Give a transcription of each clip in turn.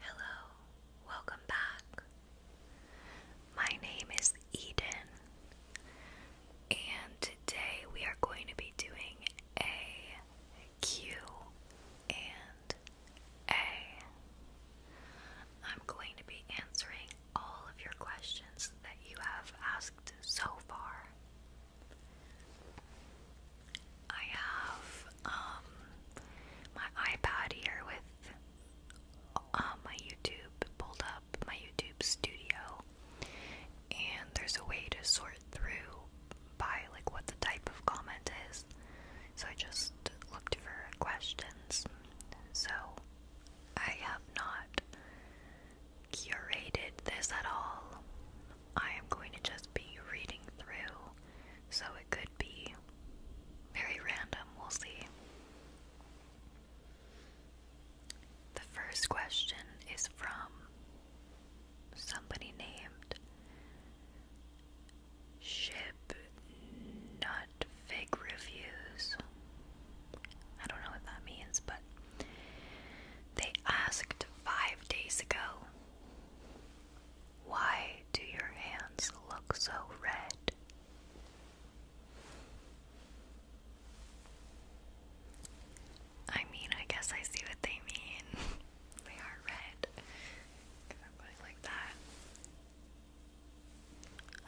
Hello, welcome back. My name is Eden, and today we are going to be doing a Q and A. I'm going to be answering all of your questions that you have asked so far. I have um my iPad here with um, my YouTube pulled up, my YouTube studio, and there's a way to sort through by like what the type of comment is. So I just looked for questions. So I have not curated this at all. I am going to just be reading through so it could be very random, we'll see. The first question is from somebody named Ship Nut Fig Reviews. I don't know what that means, but they asked five days ago why do your hands look so red? I mean, I guess I see what they mean. they are red. Can I put it like that?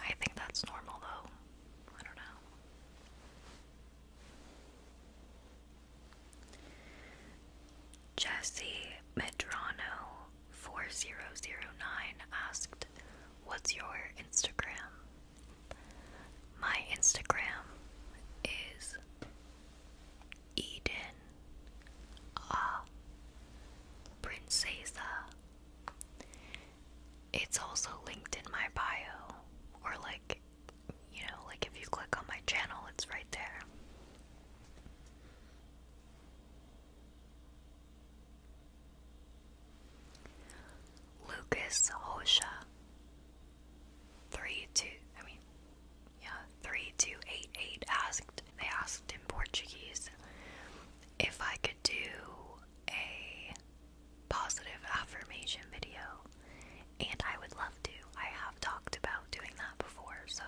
I think that's normal though. I don't know. Jesse Medrano 4009 asked, What's your Instagram? My Instagram is Eden a Princesa. It's also linked in my bio, or like, you know, like if you click on my channel, it's right there. Lucas Hosha three two I mean yeah three two eight eight asked they asked in Portuguese if I could do a positive affirmation video and I would love to. I have talked about doing that before so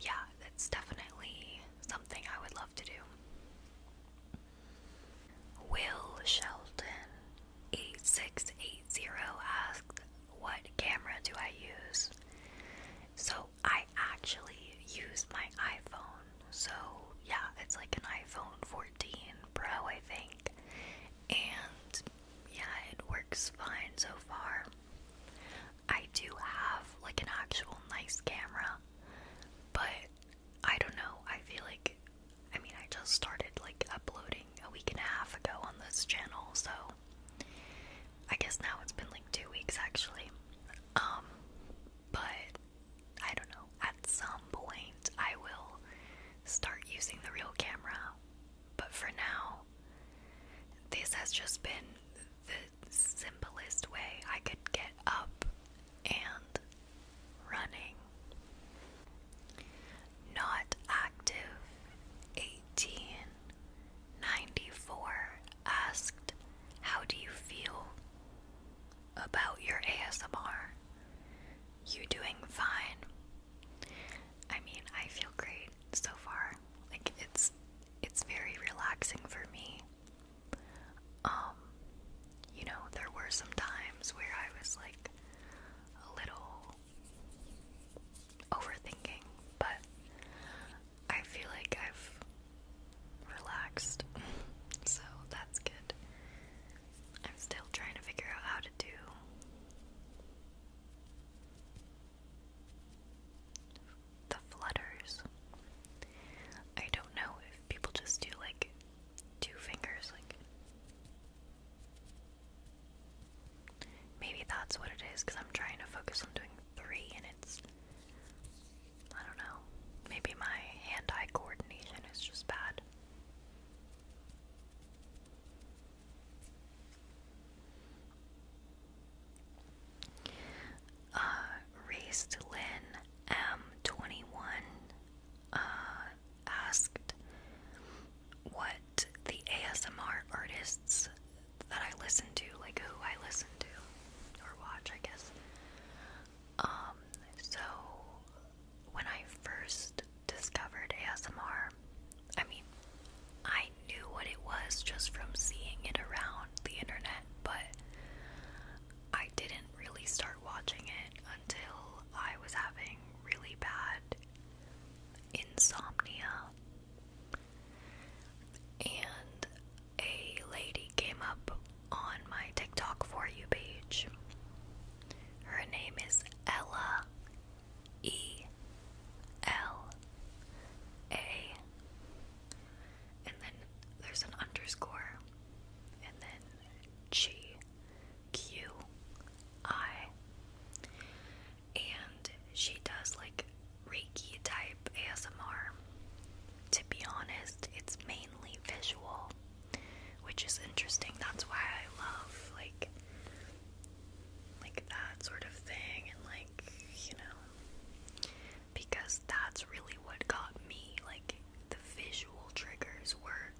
yeah, that's definitely something I would love to do. Will Shelton 8680 asked, What camera do I use? So I actually use my iPhone. So yeah, it's like an iPhone 14 Pro, I think. And yeah, it works fine so far. I do have like an actual nice camera, but I don't know. I feel like, I mean, I just started like uploading a week and a half ago on this channel, so I guess now it's been like two weeks actually. Um, but I don't know. At some point, I will start using the real camera, but for now, this has just been the simplest way I could get up and running. Not active. 1894 asked, How do you feel about your ASMR? You doing fine? I mean, I feel great so far. Like it's it's very relaxing for me. Um you know, there were some times where I was like a little overthinking, but I feel like I've relaxed. so that's good. I'm still trying to figure out how to do the flutters. I don't know if people just do like two fingers, like. Maybe that's what it is because I'm trying to focus on doing three and it's. I don't know. Maybe my hand eye coordination is just bad. Uh, raised Lynn M21 uh, asked what the ASMR artists that I listen to, like who I listen to or watch, I guess. Um, so when I first discovered ASMR, I mean, I I knew what it was just from seeing it around the internet, but I didn't really start watching it until I was having really bad insomnia. And a lady came up on my TikTok for you page. Her name is Ella E L A and then there's an underscore, and then G Q I. And she does like Reiki type ASMR. To be honest, it's mainly visual, which is interesting. That's why I love like like that sort of thing and like, you know because that's really what got me. Like, the visual triggers were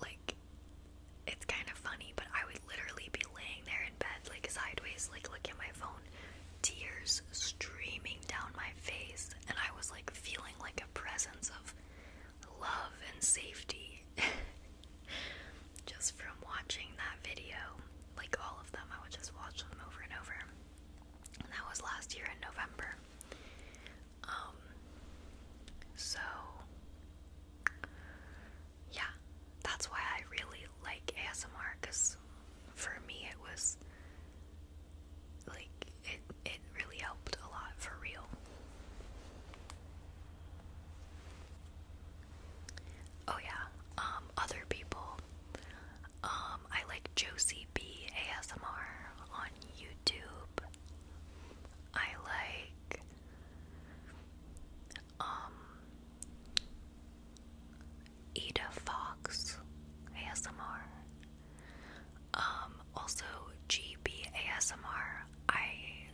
like, it's kind of funny, but I would literally be laying there in bed, like sideways, like looking at my phone, tears streaming down my face, and I was like feeling like a presence of love and safety just from watching that video like all of them. I would just watch them over and over. And that was last year in November. Um so yeah, that's why I really like ASMR cuz for me it was like it it really helped a lot for real. Oh yeah. Um other people um, I like Josie B ASMR on YouTube. I like um Eda Fox ASMR. Um, also GB ASMR. I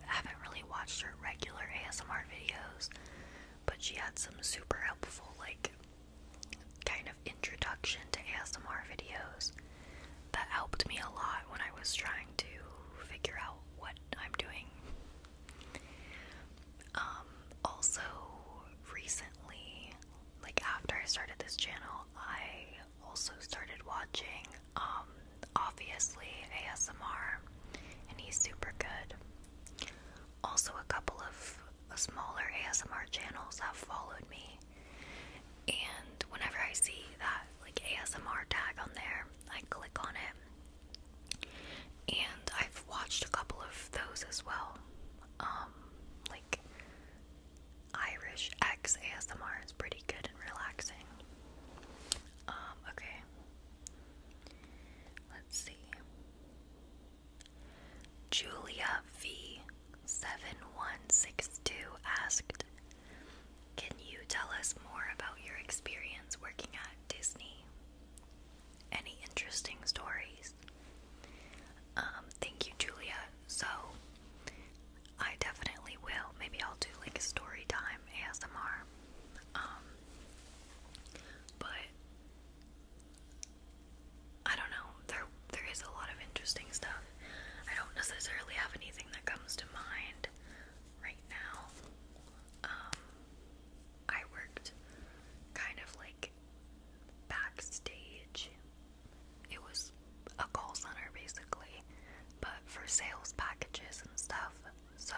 haven't really watched her regular ASMR videos, but she had some super helpful like kind of introduction to ASMR videos that helped me a lot when I was trying to figure out what I'm doing. Um, also, recently, like after I started this channel, I also started watching, um, obviously ASMR, and he's super good. Also, a couple of smaller ASMR channels have followed me, and whenever I see that like ASMR tag on there, I click on it. And I've watched a couple of those as well, um, like Irish X ASMR is pretty good and relaxing. Um, okay, let's see. Julia V7162 asked, Can you tell us more about your experience working at Disney? Any interesting stories? Um, thank you, Julia. So, I definitely will. Maybe I'll do like a story time ASMR. Um, but I don't know. There there is a lot of interesting stuff. I don't necessarily have anything that comes to mind right now. Um, I worked kind of like backstage. It was a call center basically, but for sales packages and stuff. So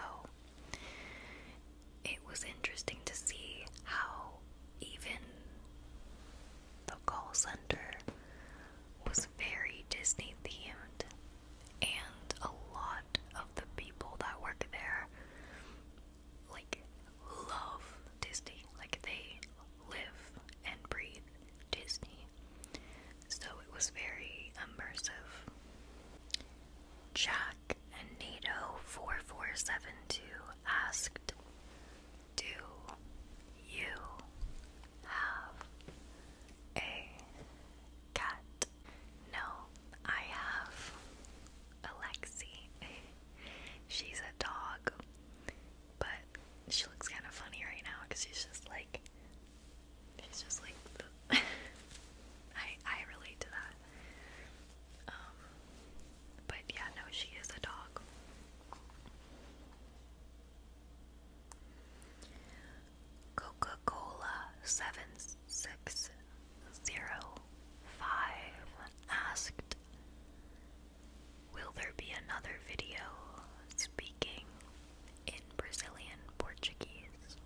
it was interesting to see how even the call center was very Disney themed, and a lot of the people that work there like love Disney, like they live and breathe Disney. So it was very immersive. Chat. Black and NATO 4472 asked, Do you have a cat? No, I have Alexi. she's a dog, but she looks kind of funny right now because she's just like, she's just like, I I relate to that. Um, but yeah, no, she is a dog. Coca Cola 7605 asked Will there be another video speaking in Brazilian Portuguese?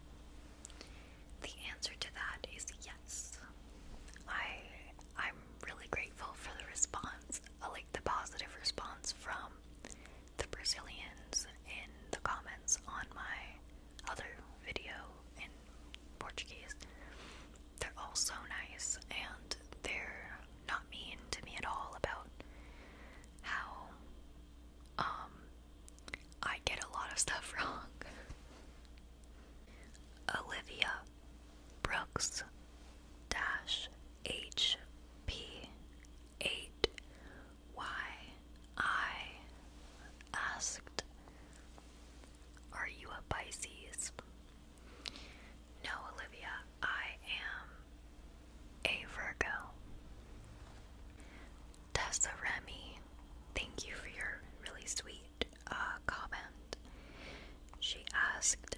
The answer to that is Yes. I I'm really grateful for the response, uh, like the positive response from the Brazilians in the comments on my other video in Portuguese. They're all so nice and they're not mean to me at all about how um, I get a lot of stuff wrong. Olivia Brooks dash H asked Are you a Pisces? No, Olivia, I am a Virgo. Tessa Remy, thank you for your really sweet comment. She asked,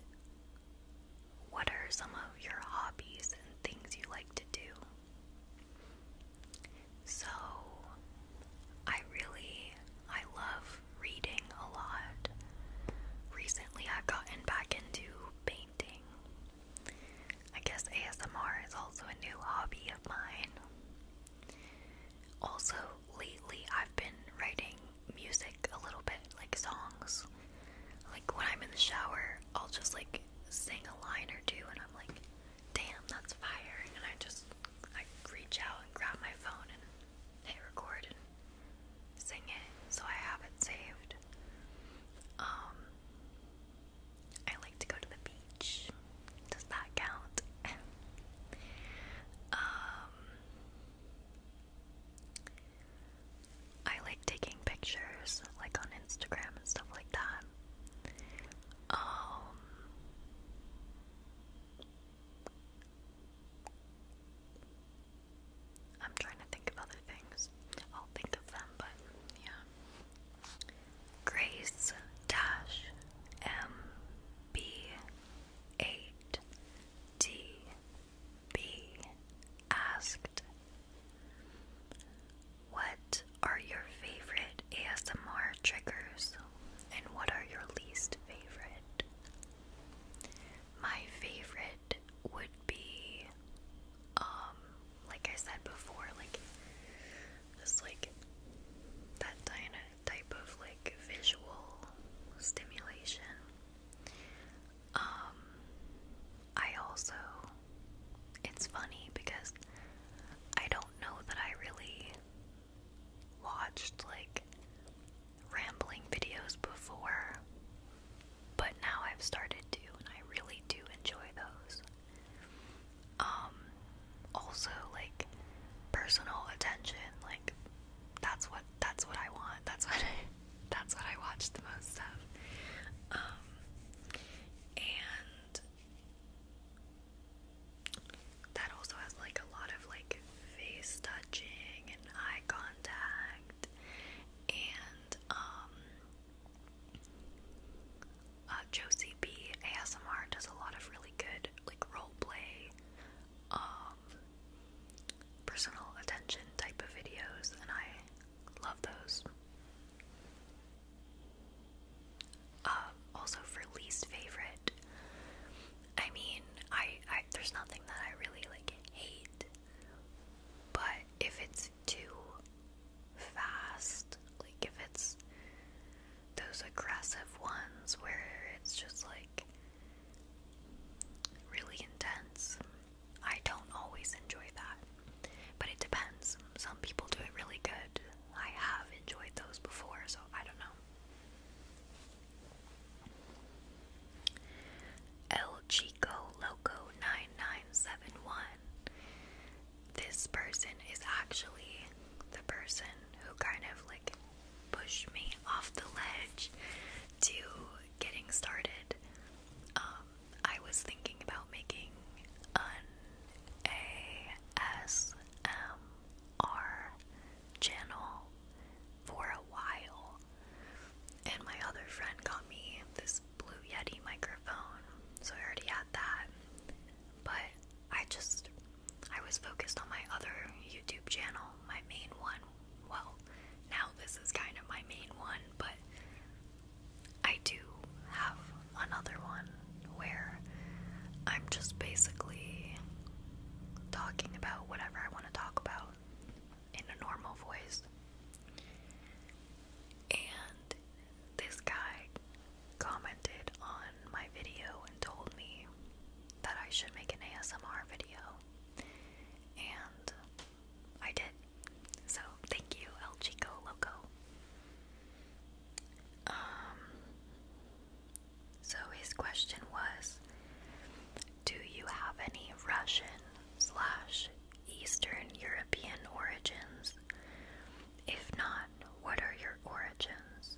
What are some of your hobbies and things you like to do? So, I really, I love reading a lot. Recently, I've gotten back into painting. I guess ASMR is also a new hobby of mine. Also, lately I've been writing music a little bit, like songs. Like when I'm in the shower, I'll just like sing a line or two and I'm like, damn, that's fire. And I just, I reach out and grab my phone and hit record and sing it. So I have it saved. Um, I like to go to the beach. Does that count? um, I like taking pictures like on Instagram and stuff like that. Um, I'm trying to think of other things. I'll think of them, but yeah. Grace Dash M B asked What are your favorite ASMR triggers and what are your least favorite? My favorite would be um like I said before like this like that Diana type of like visual stimulation. Um, I also, it's funny because I don't know that I really watched like rambling videos before, but now I've started to, and I really do enjoy those. Um, also, like personal attention, like that's what that's what I want. That's what that's what I watch the most of. Um, and that also has like a lot of like face touching and eye contact and um, uh, Josie B ASMR does a lot of really good like role play um, personal attention type of videos, and I love those. Uh, also for least favorite, I mean, I, I there's nothing that I really like hate, but if it's too fast, like if it's those aggressive ones where it's just like really intense. I don't always enjoy that, but it depends. Some people do it really good. I have enjoyed those before, so I don't know. El Chico Loco 9971. This person is actually the person who kind of like push me off the ledge to getting started. Um, I was thinking about making an ASMR channel for a while, and my other friend got me this Blue Yeti microphone, so I already had that. But I just I was focused on my other YouTube channel, my main one. Well, now this is kind of my main one, but I do have another one where I'm just basically talking about whatever I want to talk about in a normal voice. And this guy commented on my video and told me that I should make an ASMR video, and I did. So thank you, El Chico Loco. Um, so his question was, do you have any Russian slash Eastern European origins? If not, what are your origins?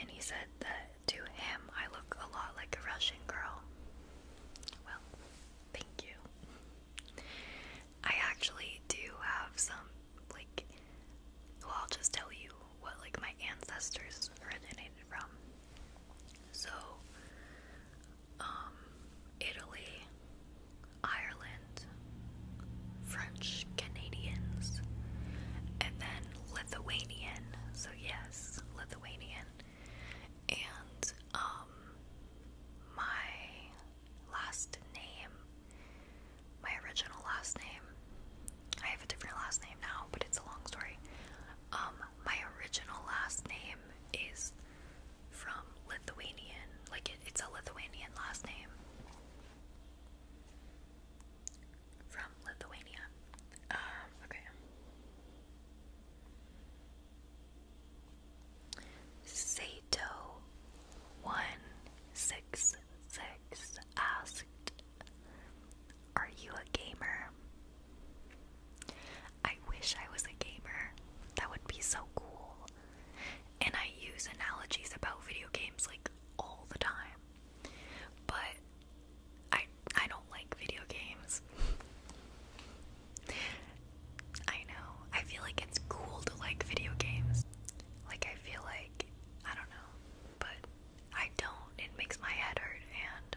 And he said that to him, I look a lot like a Russian girl. Well, thank you. I actually do have some, like, well, I'll just tell you what, like, my ancestors originated from. So, um, Italy, Ireland, French Canadians, and then Lithuanian. So, yes, Lithuanian. And um my last name, my original last name. I have a different last name now, but it's a long story. Um my original last name is from Lithuanian. Like it's a Lithuanian last name from Lithuania. Um, okay. Sato one six six asked, Are you a gamer? I wish I was a gamer. That would be so cool. And I use analogies about video games like all the time. But I I don't like video games. I know. I feel like it's cool to like video games. Like I feel like I don't know, but I don't. It makes my head hurt and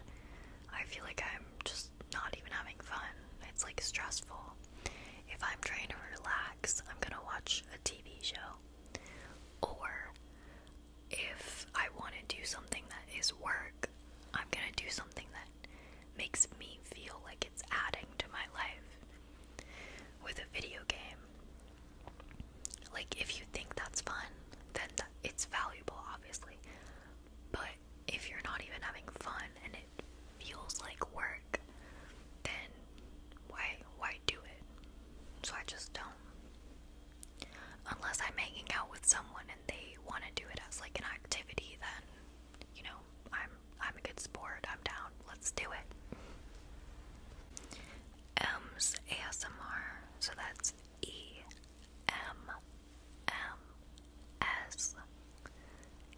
I feel like I'm just not even having fun. It's like stressful. If I'm trying to relax, I'm going to watch a TV show or if I want to do something that is work, I'm going to do something that makes me feel like it's adding to my life. With a video game, like if you think that's fun, then it's valuable, obviously. But if you're not even having fun and it feels like work, then why why do it? So I just don't unless I'm hanging out with someone and they want to do it as like an activity, then you know I'm I'm a good sport. I'm down. Let's do it. M's ASMR. So that's E M M S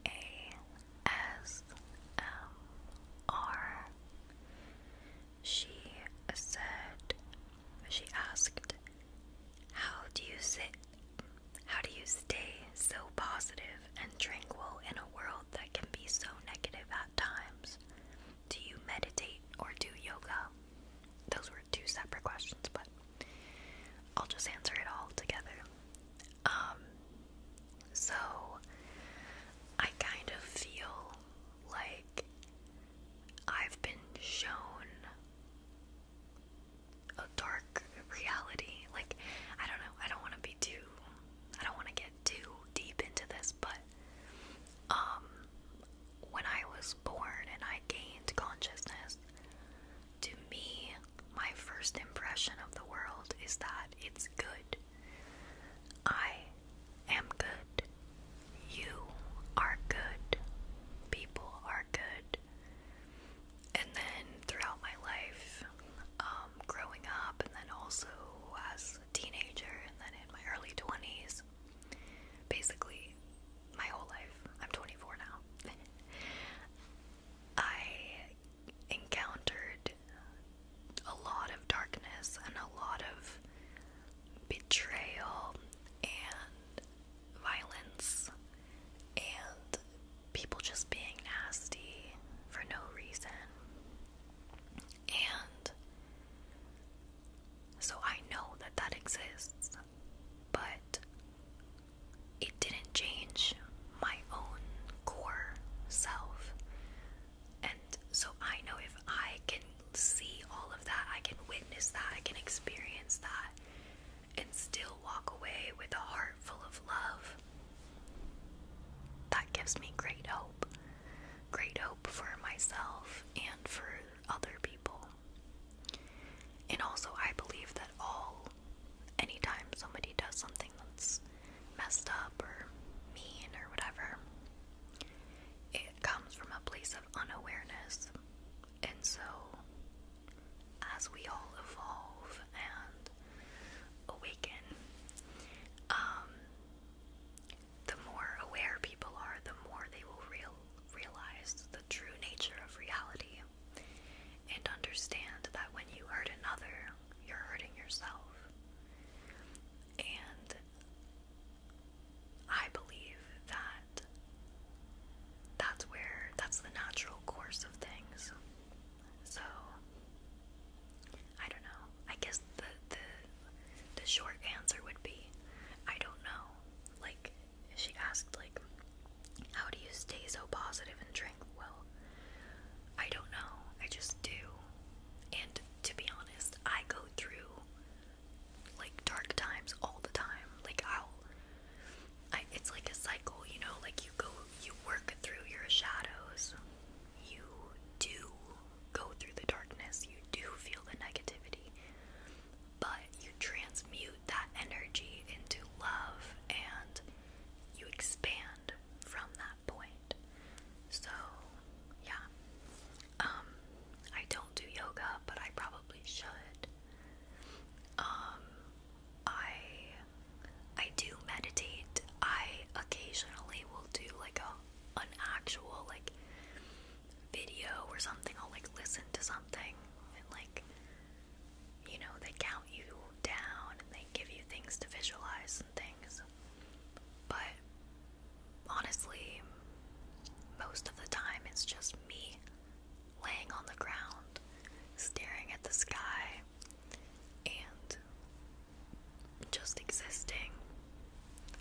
A S M R she said, she asked, How do you sit? How do you stay so positive and tranquil in a world that can be so negative at times? Do you meditate or do yoga? Those were two separate questions, but I'll just answer it all together. Um, so I kind of feel like I've been shown a dark reality. Like, I don't know, I don't want to be too, I don't want to get too deep into this, but um, when I was born and I gained consciousness, to me, my first impression of the world is that it's good. I am good. You are good. People are good. And then throughout my life, um, growing up, and then also as a teenager, and then in my early 20s, basically my whole life, I'm 24 now, I encountered a lot of darkness and a lot of betrayal and violence and people just being nasty for no reason. And so I know that that exists, but it didn't change my own core self. And so I know if I can see all of that, I can witness that, I can experience that, and still walk away with a heart full of love. That gives me great hope. Great hope for myself and for other people. And also, I believe that all, anytime somebody does something that's messed up or mean or whatever, it comes from a place of unawareness. And so, as we all evolve and awaken, um, the more aware people are, the more they will realize the true nature of reality and understand that when you hurt another, you're hurting yourself. And I believe that that's where that's the natural course of things. So I don't know. I guess the the the short answer would be I don't know. Like she asked like how do you stay so positive and drink well? I don't know. I just do. And to be honest, I go through like dark times all the time. Like I'll it's like a cycle, you know, like you go you work through your shadows. You do go through the darkness. You do feel the negativity. But you transmute that energy into love and you expand from that point. So, yeah. Um, I don't do yoga, but I probably should. Um, I I do meditate. I occasionally will do like a an actual like video or something. I'll like listen to something and like you know, they count you down and they give you things to visualize and things. But honestly, most of the time it's just me laying on the ground, staring at the sky, and just existing.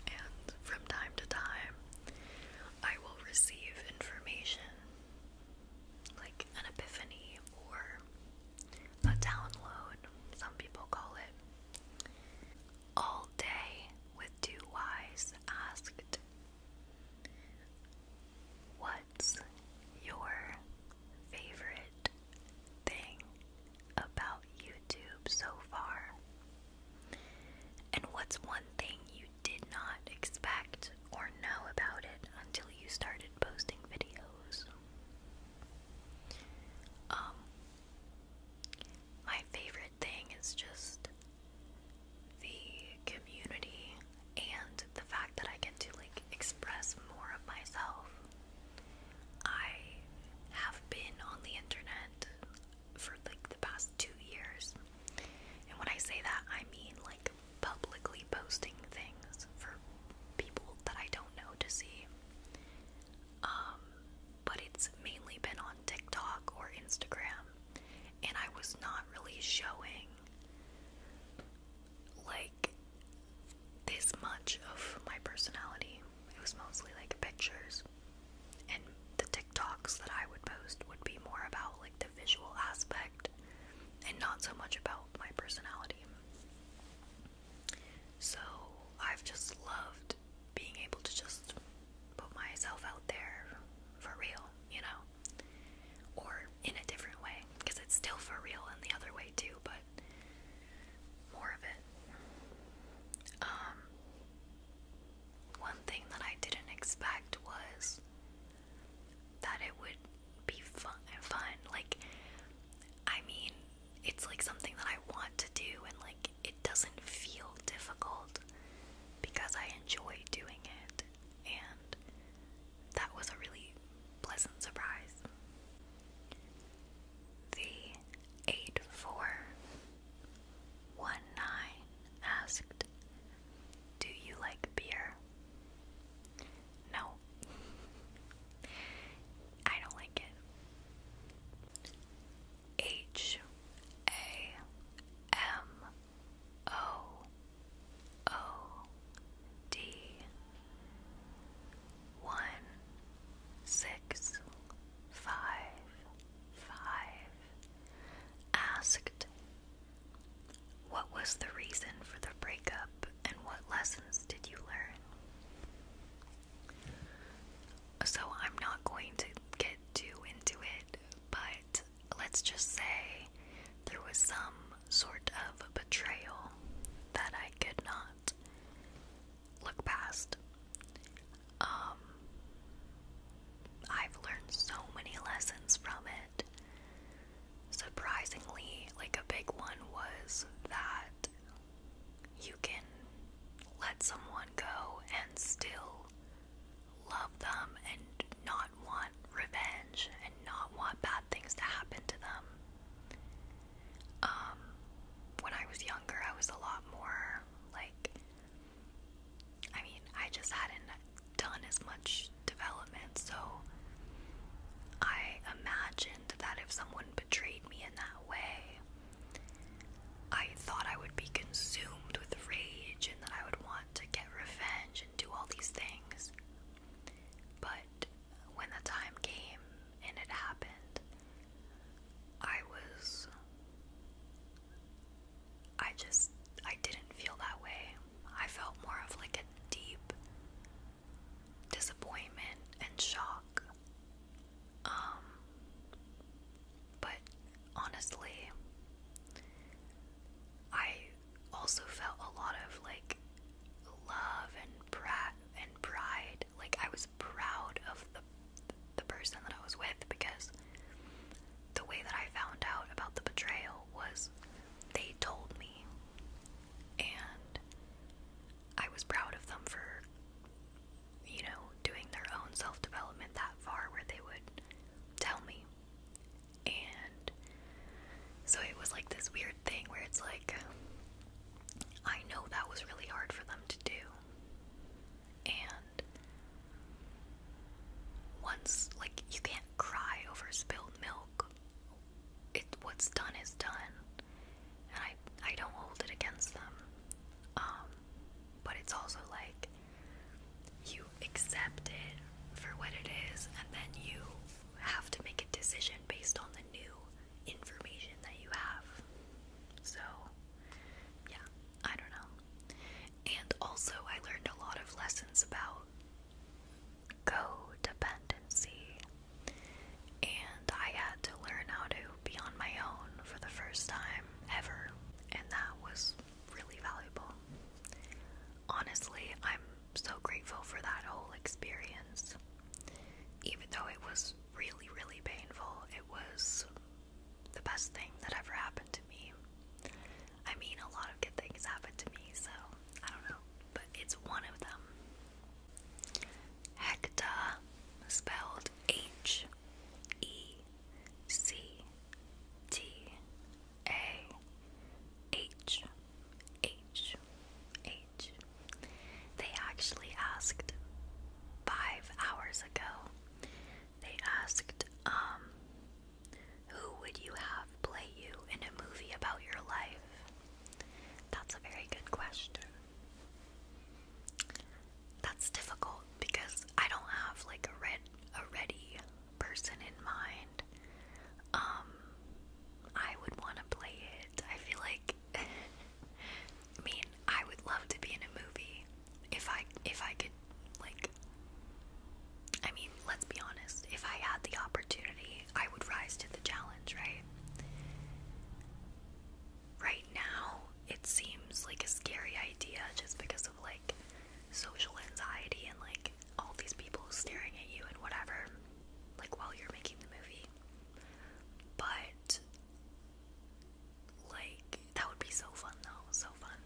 And from time to time, I will receive information like an epiphany or a download, some people call it. All day with two eyes. asked What's your favorite thing about YouTube so far? And what's one thing you did not expect or know about it until you started posting videos? Um, my favorite favorite thing is just the community and the fact that I get to like express more of myself. I have been on the internet for like the past two years. And when I say that, I mean like publicly posting things for people that I don't know to see. Um, but it's mainly been on TikTok or Instagram, and I was not really showing like this much of my personality. It was mostly like pictures, and the TikToks that I would post would be more about like the visual aspect and not so much about my personality. So I've just loved being able to just put myself out there for real, you know, or in a different way because it's still for real in the other way too, but more of it. Um, one thing that I didn't expect was that it would be fun fun like I mean it's like something that I want to do and like it doesn't feel difficult because I enjoy doing it, and that was a really pleasant surprise. The 8419 asked, Do you like beer? No, I don't like it. H A M O O D one six five five asked what was the reason for the breakup and what lessons did you learn? So I'm not going to get too into it, but let's just say there was some sort of betrayal that I could not look past. Um, I've learned so many lessons from it. Surprisingly, like a big one was that you can let someone go and still love them and not want revenge and not want bad things to happen to them. Um, when I was younger, I was a lot more like, I mean, I just hadn't done as much development, so I imagined that if someone betrayed me in that way, I thought I would be consumed with rage and that I would want to get revenge and do all these things. But when the time came and it happened, I was. I just. I didn't feel that way. I felt more of like a deep disappointment and shock. Um, but honestly, I also felt a lot of like love and brat and pride. Like I was proud of the the person that I was with because the way that I found out about the betrayal was they told me and I was proud of them for you know doing their own self development that far where they would tell me and so it was like this weird thing where it's like, I know that was really hard for them to do. And once, like, you can't cry over spilled milk. It, what's done is done. And I, I don't hold it against them. Um, but it's also like, you accept it for what it is, and then you have to make a decision based on the new information that you have. So, yeah, I don't know. And also, I learned a lot of lessons about codependency, and I had to learn how to be on my own for the first time ever, and that was really valuable. Honestly, I'm so grateful for that whole experience. Even though it was really, really painful, it was the best thing that ever happened to me. I mean, a lot of good things happened to me, so I don't know, but it's one of them. Hecta, spelled H E C T a H H H. They actually asked five hours ago. They asked, um, who would you have play you in a movie about your life? That's a very good question. That's difficult because I don't have like a ready person in mind. Um, I would want to play it. I feel like, I mean, I would love to be in a movie if I if I could like. I mean, let's be honest. If I had the opportunity, I would rise to the challenge, right? Right now, it seems like a scary idea just because of like social anxiety and like all these people staring at you and whatever, like while you're making the movie. But like that would be so fun though, so fun.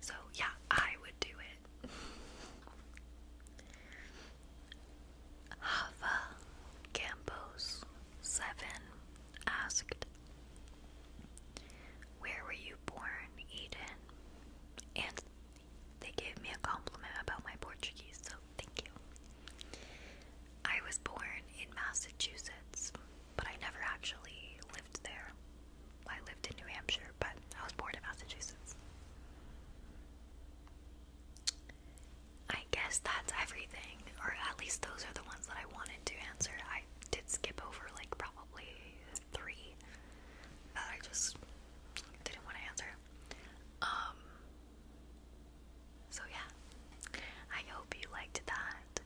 So yeah, I would do it. Hava Campos seven asked Where were you born, Eden? They gave me a compliment about my Portuguese, so thank you. I was born in Massachusetts, but I never actually lived there. I lived in New Hampshire, but I was born in Massachusetts. I guess that's everything, or at least those are the ones that I wanted to answer. I did skip over, like, probably three that I just didn't want to answer. Um, so yeah, I hope you liked that.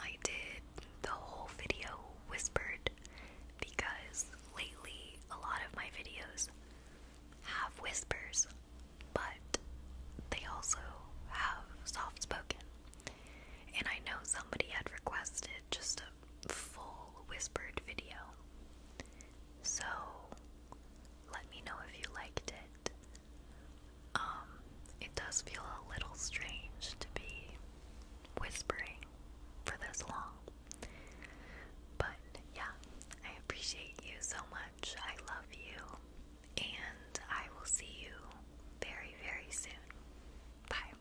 I did the whole video whispered because lately a lot of my videos have whispers, but they also have soft spoken. And I know somebody had requested just a full whispered video. So let me know if you liked it. Um, it does feel a little strange to be whispering for this long. But yeah, I appreciate you so much. I love you. And I will see you very, very soon. Bye.